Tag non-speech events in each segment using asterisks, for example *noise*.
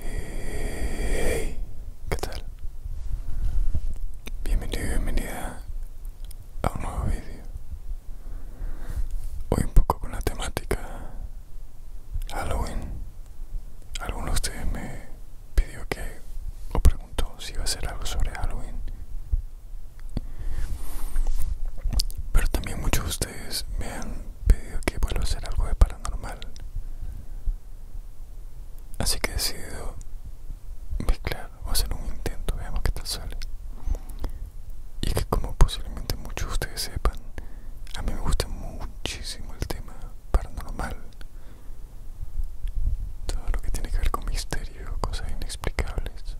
Hey, ¿qué tal? Bienvenido y bienvenida a un nuevo vídeo. Hoy un poco con la temática Halloween algunos de ustedes me pidió que, o preguntó si iba a hacer algo sobre Halloween. Pero también muchos de ustedes me han pedido que vuelva a hacer algo de paranormal. Así que he decidido mezclar o hacer un intento, veamos qué tal sale. Y que como posiblemente muchos de ustedes sepan, a mí me gusta muchísimo el tema paranormal, todo lo que tiene que ver con misterio, cosas inexplicables.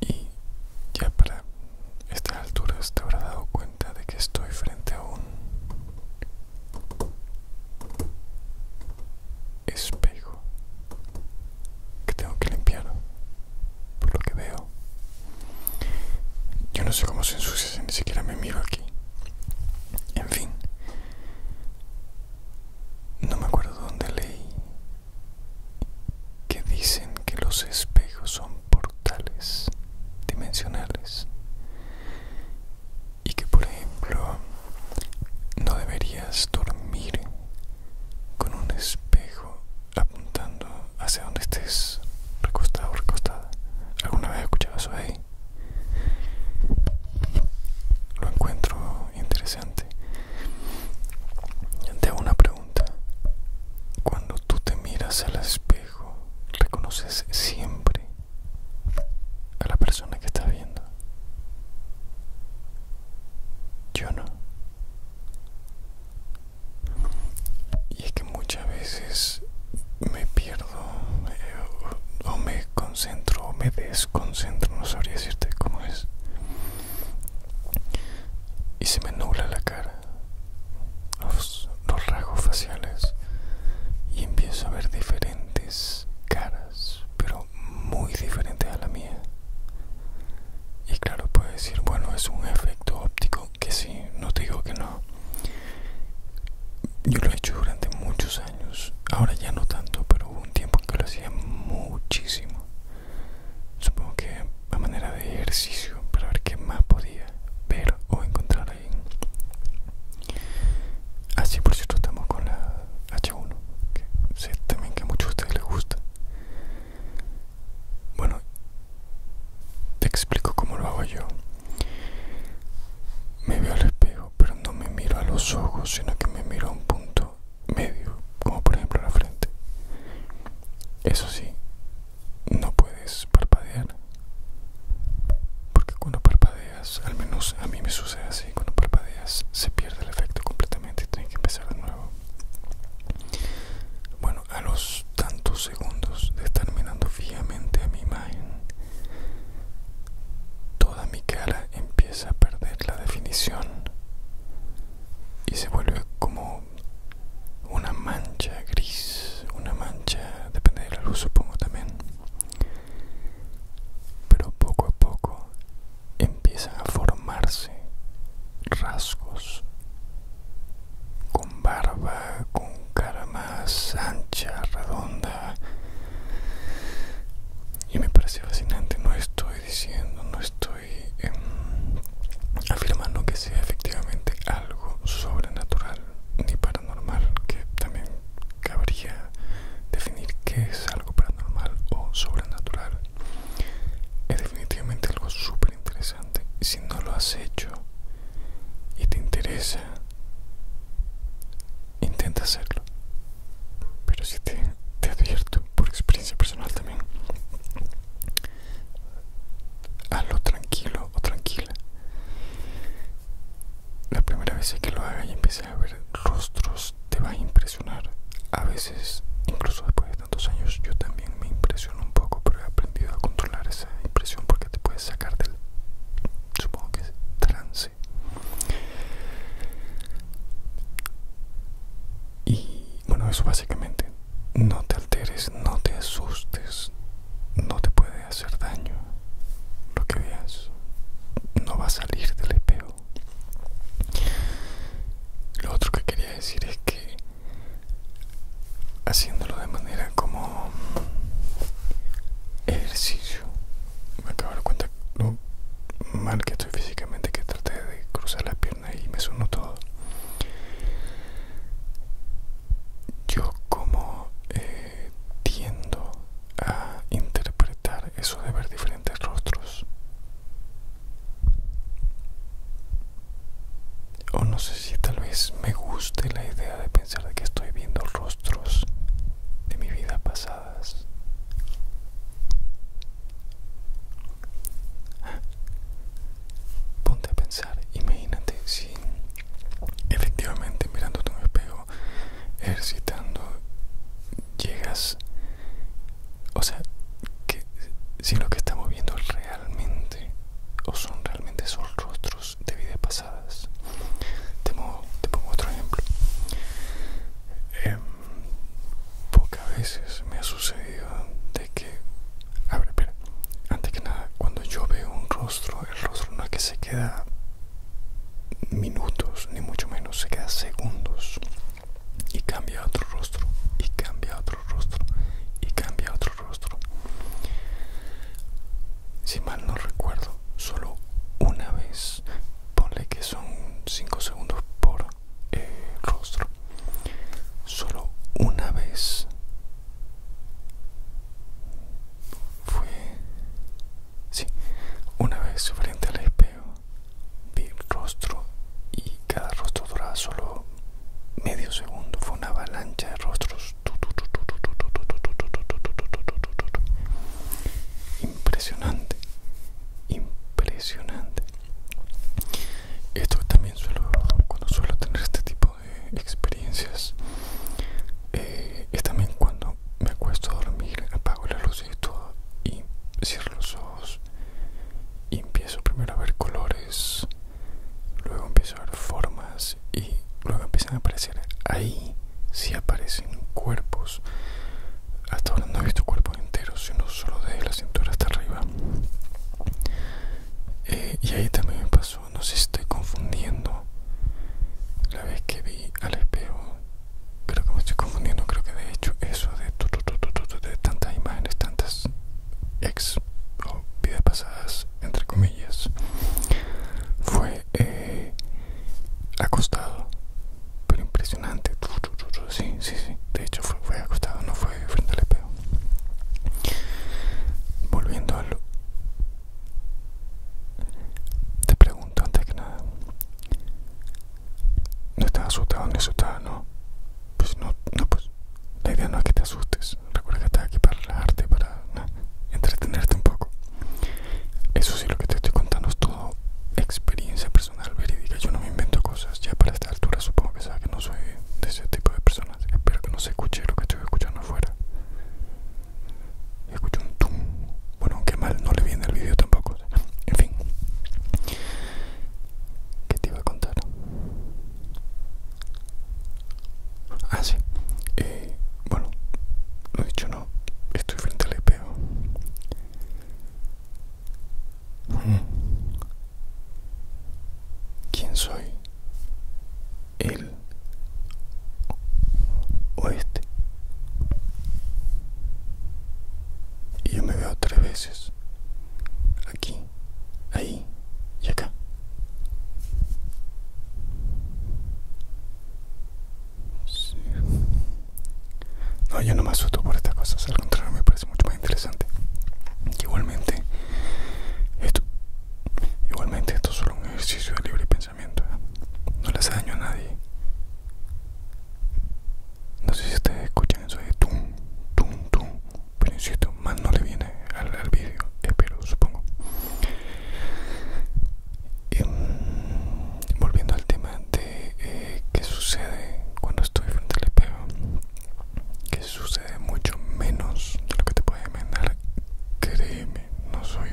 Y ya para estas alturas te habrás dado cuenta de que estoy frente a un espejo que tengo que limpiar por lo que veo. Yo no sé cómo se ensucia, si ni siquiera me miro aquí. En fin, no me acuerdo dónde leí que dicen que los espejos son portales dimensionales y que, por ejemplo, no deberías dormir con un espejo apuntando hacia donde estés recostado o recostada. ¿Alguna vez escuchaba eso ahí? Lo encuentro interesante. Te hago una pregunta. Cuando tú te miras al espejo, reconoces siempre a la persona que estás viendo. Yo no y es que muchas veces me pierdo eh, o me concentro o me desconcentro no sabría decirte cómo es y se me nubla la cara los, los rasgos faciales y empiezo a ver diferentes caras pero muy diferentes a la mía y claro puedes decir bueno es un efecto óptico que sí, no te digo que no. Yo lo he hecho durante muchos años, ahora ya no tanto, pero hubo un tiempo que lo hacía muchísimo. Supongo que a manera de ejercicio, para ver qué más podía ver o encontrar ahí. Así, ah, por cierto, estamos con la H1, que sé también que a muchos de ustedes les gusta. Bueno, te explico cómo lo hago yo. Me veo al espejo, pero no me miro a los ojos, sino que me miro a un punto medio, como por ejemplo la frente. Eso sí, no puedes parpadear. Porque cuando parpadeas, al menos a mí me sucede así, cuando parpadeas se pierde el efecto completamente y tienes que empezar de nuevo. Bueno, a los tantos segundos de estar mirando fijamente a mi imagen, toda mi cara empieza a perder la definición y se vuelve como una mancha gris, una mancha, depende de la luz supongo también. Pero poco a poco empiezan a formarse rasgos con barba, con cara más ancha, redonda. Y me parece fascinante, no estoy diciendo, no estoy em, afirmando que sea efectivamente algo sobrenatural ni paranormal, que también cabría definir qué es algo paranormal o sobrenatural. Es definitivamente algo súper interesante. Si no lo has hecho y te interesa, intenta hacerlo. Pero si te, te advierto por experiencia personal también, hazlo tranquilo o tranquila. La primera vez que lo hagas y empieces a ver rostros te va a impresionar. A veces, incluso después años yo también me impresiono un poco, pero he aprendido a controlar esa impresión porque te puedes sacar del, supongo trance. Y bueno, eso básicamente, no te alteres, no te asustes, no te puede hacer daño lo que veas, no va a salir del espejo. Lo otro que quería decir es que haciéndolo de manera como ejercicio, me acabo de dar cuenta lo mal que estoy físicamente que traté de cruzar las piernas y me sonó todo. Yo como eh, tiendo a interpretar eso de ver diferentes rostros o no sé si tal vez me guste la idea de pensar que estoy viendo rostros de mi vida pasadas ponte a pensar imagínate si efectivamente mirándote tu espejo ejercitando llegas o sea, que si lo que estamos viendo realmente o son realmente son rostros de vidas pasadas. Te, pongo otro ejemplo. Em, pocas veces me ha sucedido de que... A ver, espera. Antes que nada, cuando yo veo un rostro, el rostro no es que se queda minutos, ni mucho menos, se queda segundos y cambia otro rostro y cambia otro rostro y cambia otro rostro si mal no recuerdo solo una vez ponle que son 5 segundos por eh, rostro solo una vez fue sí una vez frente a la espejo vi el rostro y cada rostro duraba solo medio segundo fue una avalancha de rostros impresionante impresionante esto también suelo cuando suelo tener este tipo de experiencias es también cuando me acuesto a dormir apago la luz y todo y cierro los ojos y empiezo primero a ver colores, luego empiezo a ver formas y luego empiezan a aparecer ahí si aparecen cuerpos. Hasta ahora no he visto cuerpos enteros, sino solo desde la cintura hasta arriba. Eh, y ahí también me pasó, no sé si estoy confundiendo. La vez que vi al espejo Creo que me estoy confundiendo, creo que de hecho eso de, de tantas imágenes, tantas ex o vidas pasadas, entre comillas, fue eh, acostado, pero impresionante. sí, sí, sí, de hecho fue, fue acostado, no fue frente al espejo. Volviendo a lo... Te pregunto antes que nada, no estás asustado ni asustado ¿no? Pues no, no, pues la idea no es que te asustes. Recuerda que estás aquí para relajarte, para entretenerte un poco. Eso sí, lo que te estoy contando es todo experiencia personal verídica. Yo no me invento cosas. Ya para esta altura supongo que sabes que no soy de ese tipo de personas. Espero que no se escuche lo que estoy escuchando afuera. Escucho un tum. Bueno, aunque mal no le viene el vídeo tampoco. En fin. ¿Qué te iba a contar? Ah, sí. Eh, bueno, lo dicho no. Estoy frente al espejo. ¿Quién soy? ¿Él? ¿O y yo me veo tres veces. Aquí, ahí y acá. No, yo no me asusto por estas cosas, al contrario me parece mucho más interesante. Igualmente, esto, igualmente esto es solo un ejercicio de libre pensamiento. ¿eh? No les daño a nadie. No sé si ustedes escuchan eso de tum, tum, tum. Pero insisto, más no le viene al, vídeo. pero supongo. Em, volviendo al tema de eh, qué sucede cuando estoy frente al espejo. Que sucede mucho menos de lo que te puedes imaginar. Créeme, no soy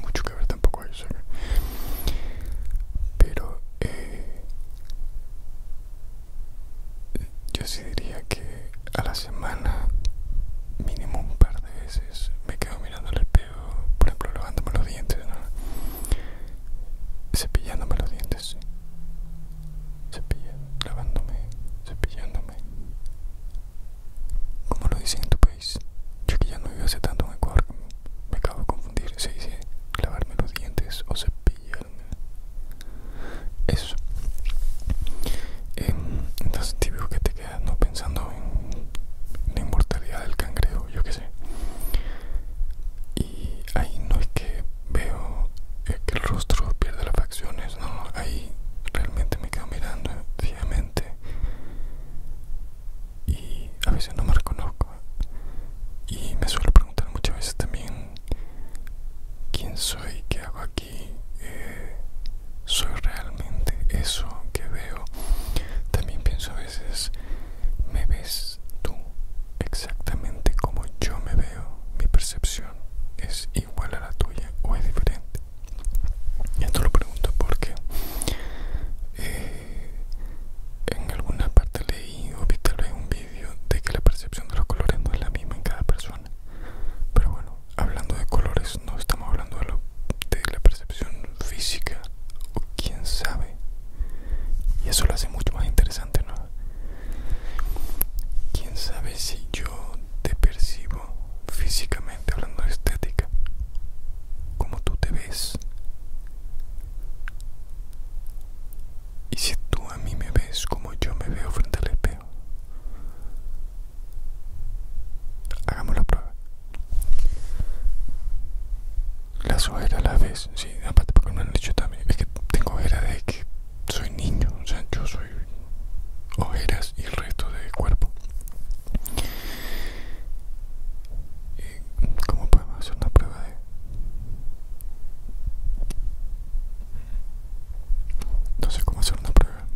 mucho tampoco Pero eh, yo sí diría que a la semana mínimo un par de veces me quedo mirando el espejo, por ejemplo lavándome los dientes, cepillándome los dientes, Cepillándome, lavándome, cepillándome. Como lo dicen en tu yo que ya no vivo hace tanto en Ecuador. Me acabo de confundir, se dice lavarme los dientes o cepillarme. Eso. Em, entonces típico que te quedas no pensando en la inmortalidad del cangrejo, yo qué sé. Y ahí no es que veo que el rostro pierde las facciones, no, ahí realmente me quedo mirando fijamente y a veces no me reconozco y me suelo preguntar muchas veces también quién soy, qué hago aquí, eh, soy realmente eso que veo. También pienso a veces, ¿me ves tú exactamente como yo me veo? Mi percepción es igual a la tuya o es diferente. Y esto lo pregunto porque... Eh, en alguna parte leí o vi tal vez un vídeo de que la percepción de los colores no es la misma en cada persona. Pero bueno, hablando de colores, no estamos hablando de, la percepción física o quién sabe. Y eso lo hace mucho más interesante, ¿no? Quién sabe si yo te percibo físicamente hablando de estética como tú te ves. Y si tú a mí me ves como yo me veo frente al espejo. Hagamos la prueba. Las ojeras las ves, sí, aparte porque no han dicho también, es que tengo ojeras de que soy niño, o sea, yo soy ojeras y el resto del cuerpo cómo podemos hacer una prueba de no sé cómo hacer una prueba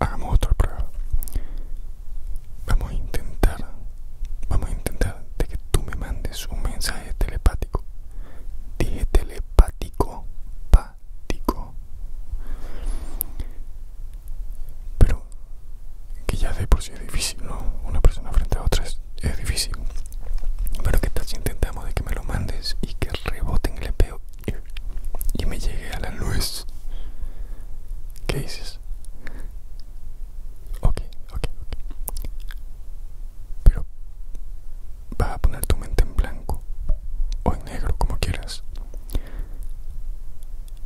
hagamos otra prueba vamos a intentar vamos a intentar de que tú me mandes un mensaje telepático dije telepático pa pero que ya de por sí es difícil, ¿no? Una persona frente a otra es, difícil. Pero que tal si intentamos de que me lo mandes y que reboten en el y me llegue a la luz. ¿Qué dices? Ok, ok, ok pero vas a poner tu mente en blanco o en negro, como quieras,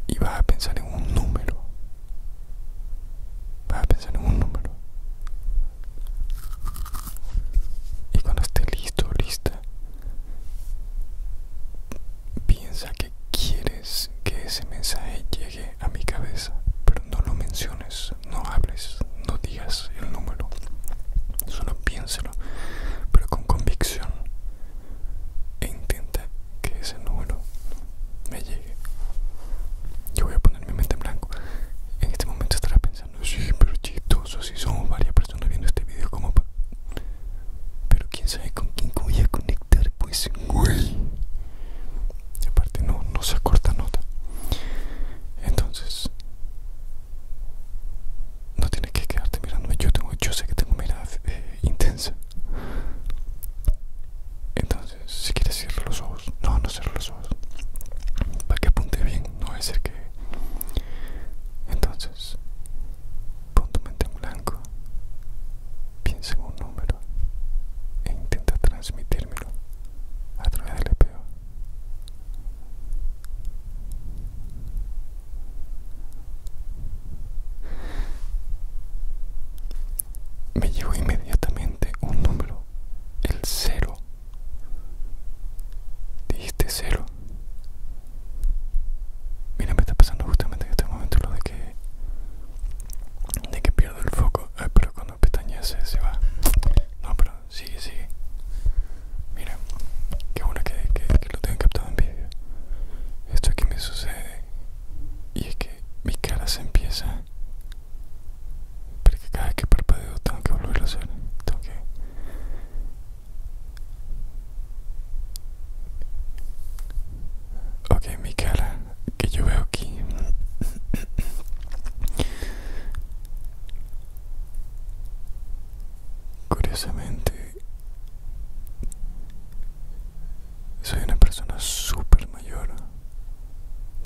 y vas a pensar en un número. Vas a pensar en un número. Y cuando esté listo, lista, piensa que quieres que ese mensaje llegue a mi cabeza, pero no lo menciones no hables, no digas el número, solo piénselo, pero con convicción e intenta que ese número me llegue. Yo voy a poner mi mente en blanco. En este momento estará pensando, sí, pero chistoso, si somos varias personas viendo este video, como Pero quién sabe con quién voy a conectar, pues, güey. Aparte, no, no se corta nota. Entonces, no tienes que quedarte mirándome. Yo tengo, yo sé que tengo mirada eh, intensa. Entonces, si quieres cerrar los ojos. No, no cerrar los ojos. Para que apunte bien, no es el que. Entonces, pon tu mente en blanco. Piensa en un número e intenta transmitírmelo a través del espejo. Me llegó inmediatamente un número, el cero. Dijiste cero. Mira, me está pasando justamente en este momento lo de que de que pierdo el foco, ah, pero cuando pestañas eh, se va. No, pero sigue, sigue. Mira, qué bueno que, lo tengan captado en vídeo. Esto es que me sucede y es que mi cara se empieza. Porque cada vez que parpadeo tengo que volverlo a hacer. Tengo que. Ok, mi cara que yo veo aquí Curiosamente, soy una persona súper mayor,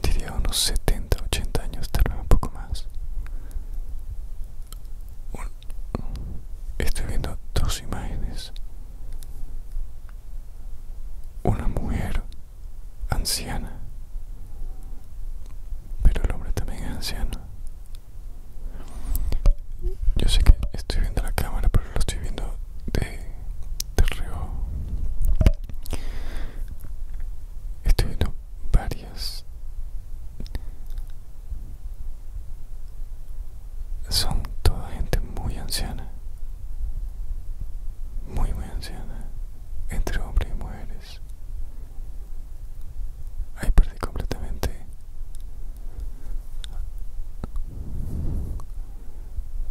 diría unos 70, 80 años, tal vez un poco más. Estoy viendo dos imágenes. Una mujer anciana. Pero el hombre también es anciano. Yo sé que estoy viendo la cámara, pero lo estoy viendo de, de reojo. Estoy viendo varias. Son toda gente muy anciana. Muy, muy anciana. Entre hombres y mujeres. Ahí perdí completamente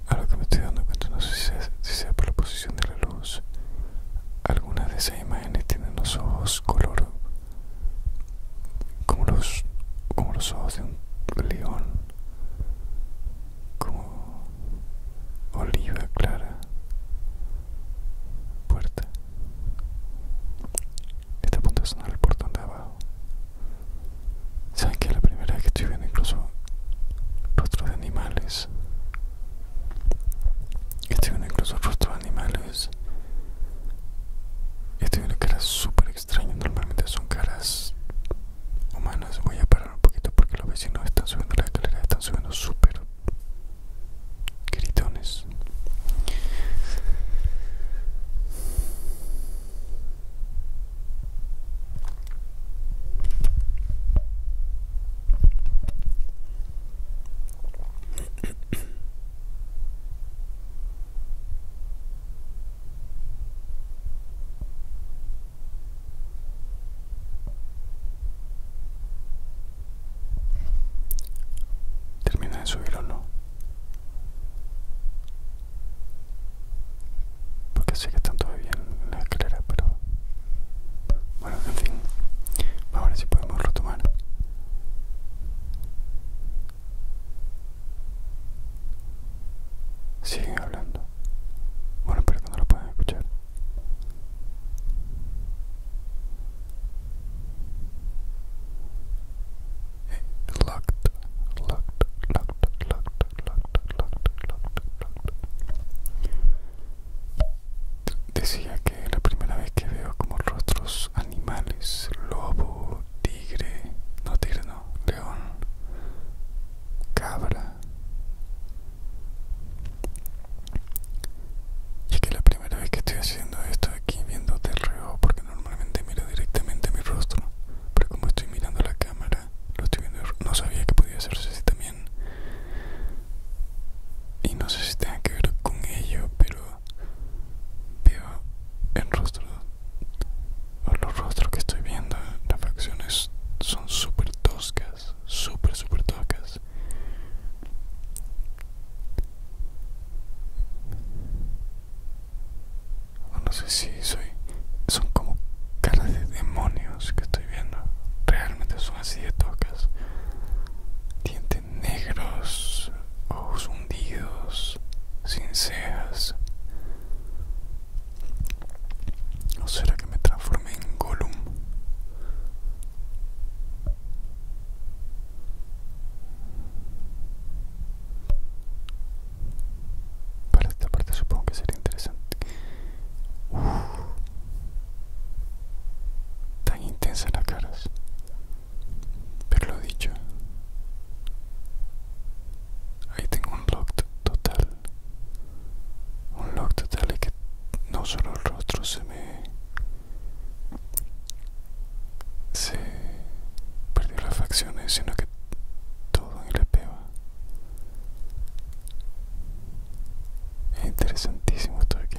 a que me estoy dando cuenta. No sé si sea, por la posición de la luz. Algunas de esas imágenes tienen los ojos color como los, como los ojos de un león, como oliva clara, puerta. esta punta punto de sonar el portón de abajo. ¿Saben que la primera vez que estoy viendo incluso rostros de animales? Estoy viendo incluso rostros de animales. Estoy viendo caras súper extrañas. Normalmente son caras humanas. Voy a un poquito porque los vecinos están subiendo la escalera están subiendo súper gritones. Termina de subir o no. Porque sé que están todavía en la escalera, pero... Bueno, en fin. Vamos a ver si podemos retomar. Siguen hablando. Bueno, espero que no lo pueden escuchar. Locked, Decía que la primera vez que veo como rostros animales, lobo, tigre, no tigre no, león, cabra, y es que la primera vez que estoy haciendo esto aquí viendo el reo, porque normalmente miro directamente mi rostro, pero como estoy mirando la cámara, lo estoy viendo, no sabía que podía hacerse así también. Y no sé si tenga que ver con ello, pero veo el rostro o los rostros que estoy viendo, las facciones son súper toscas, súper, súper toscas. No sé si soy... Son como caras de demonios que estoy viendo. Realmente son así de toscas. Dientes negros, ojos hundidos, sin cejas. ¿O será que me transforme en Gollum? Para esta parte supongo que sería interesante. Tan intensa las caras. Pero lo dicho. Ahí tengo un lock total un lock total Y que no solo el rostro se me se perdió las facciones sino que todo en el espejo es interesantísimo esto aquí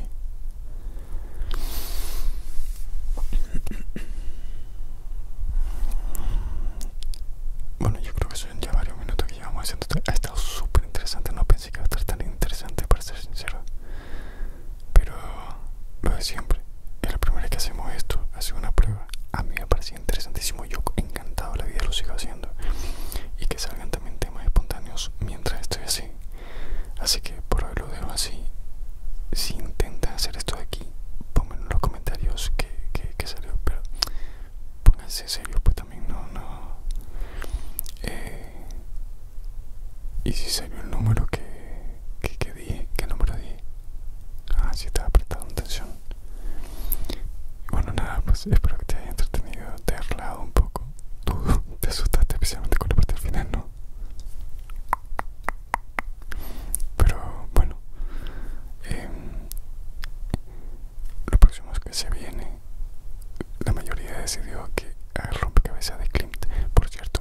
bueno, yo creo que son ya varios minutos que llevamos haciendo. esto Ha estado súper interesante, no pensé que iba a estar tan interesante, para ser sincero. Pero lo de siempre, es la primera vez que hacemos esto, hace una prueba. A mí me parecía interesantísimo, yo encantado la vida lo sigo haciendo. Y que salgan también temas espontáneos mientras estoy así. Así que por hoy lo dejo así. Si intentan hacer esto de aquí, ponme en los comentarios que, que salió. Pero pónganse serio pues también no no eh, y si salió el número que que, que di qué número di ah si estaba apretado en tensión bueno nada pues espero que te haya entretenido te haya relajado un poco tú *laughs* te asustaste especialmente con la parte final no pero bueno em, lo próximo que se viene, la mayoría decidió que haga rompecabezas de Klimt. Por cierto,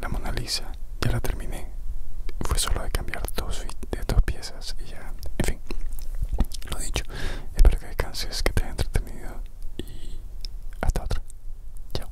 la Mona Lisa ya la terminé. Fue solo de cambiar dos, de dos piezas y ya, en fin, lo dicho. Espero que descanses, que te haya entretenido y hasta otra. Chao.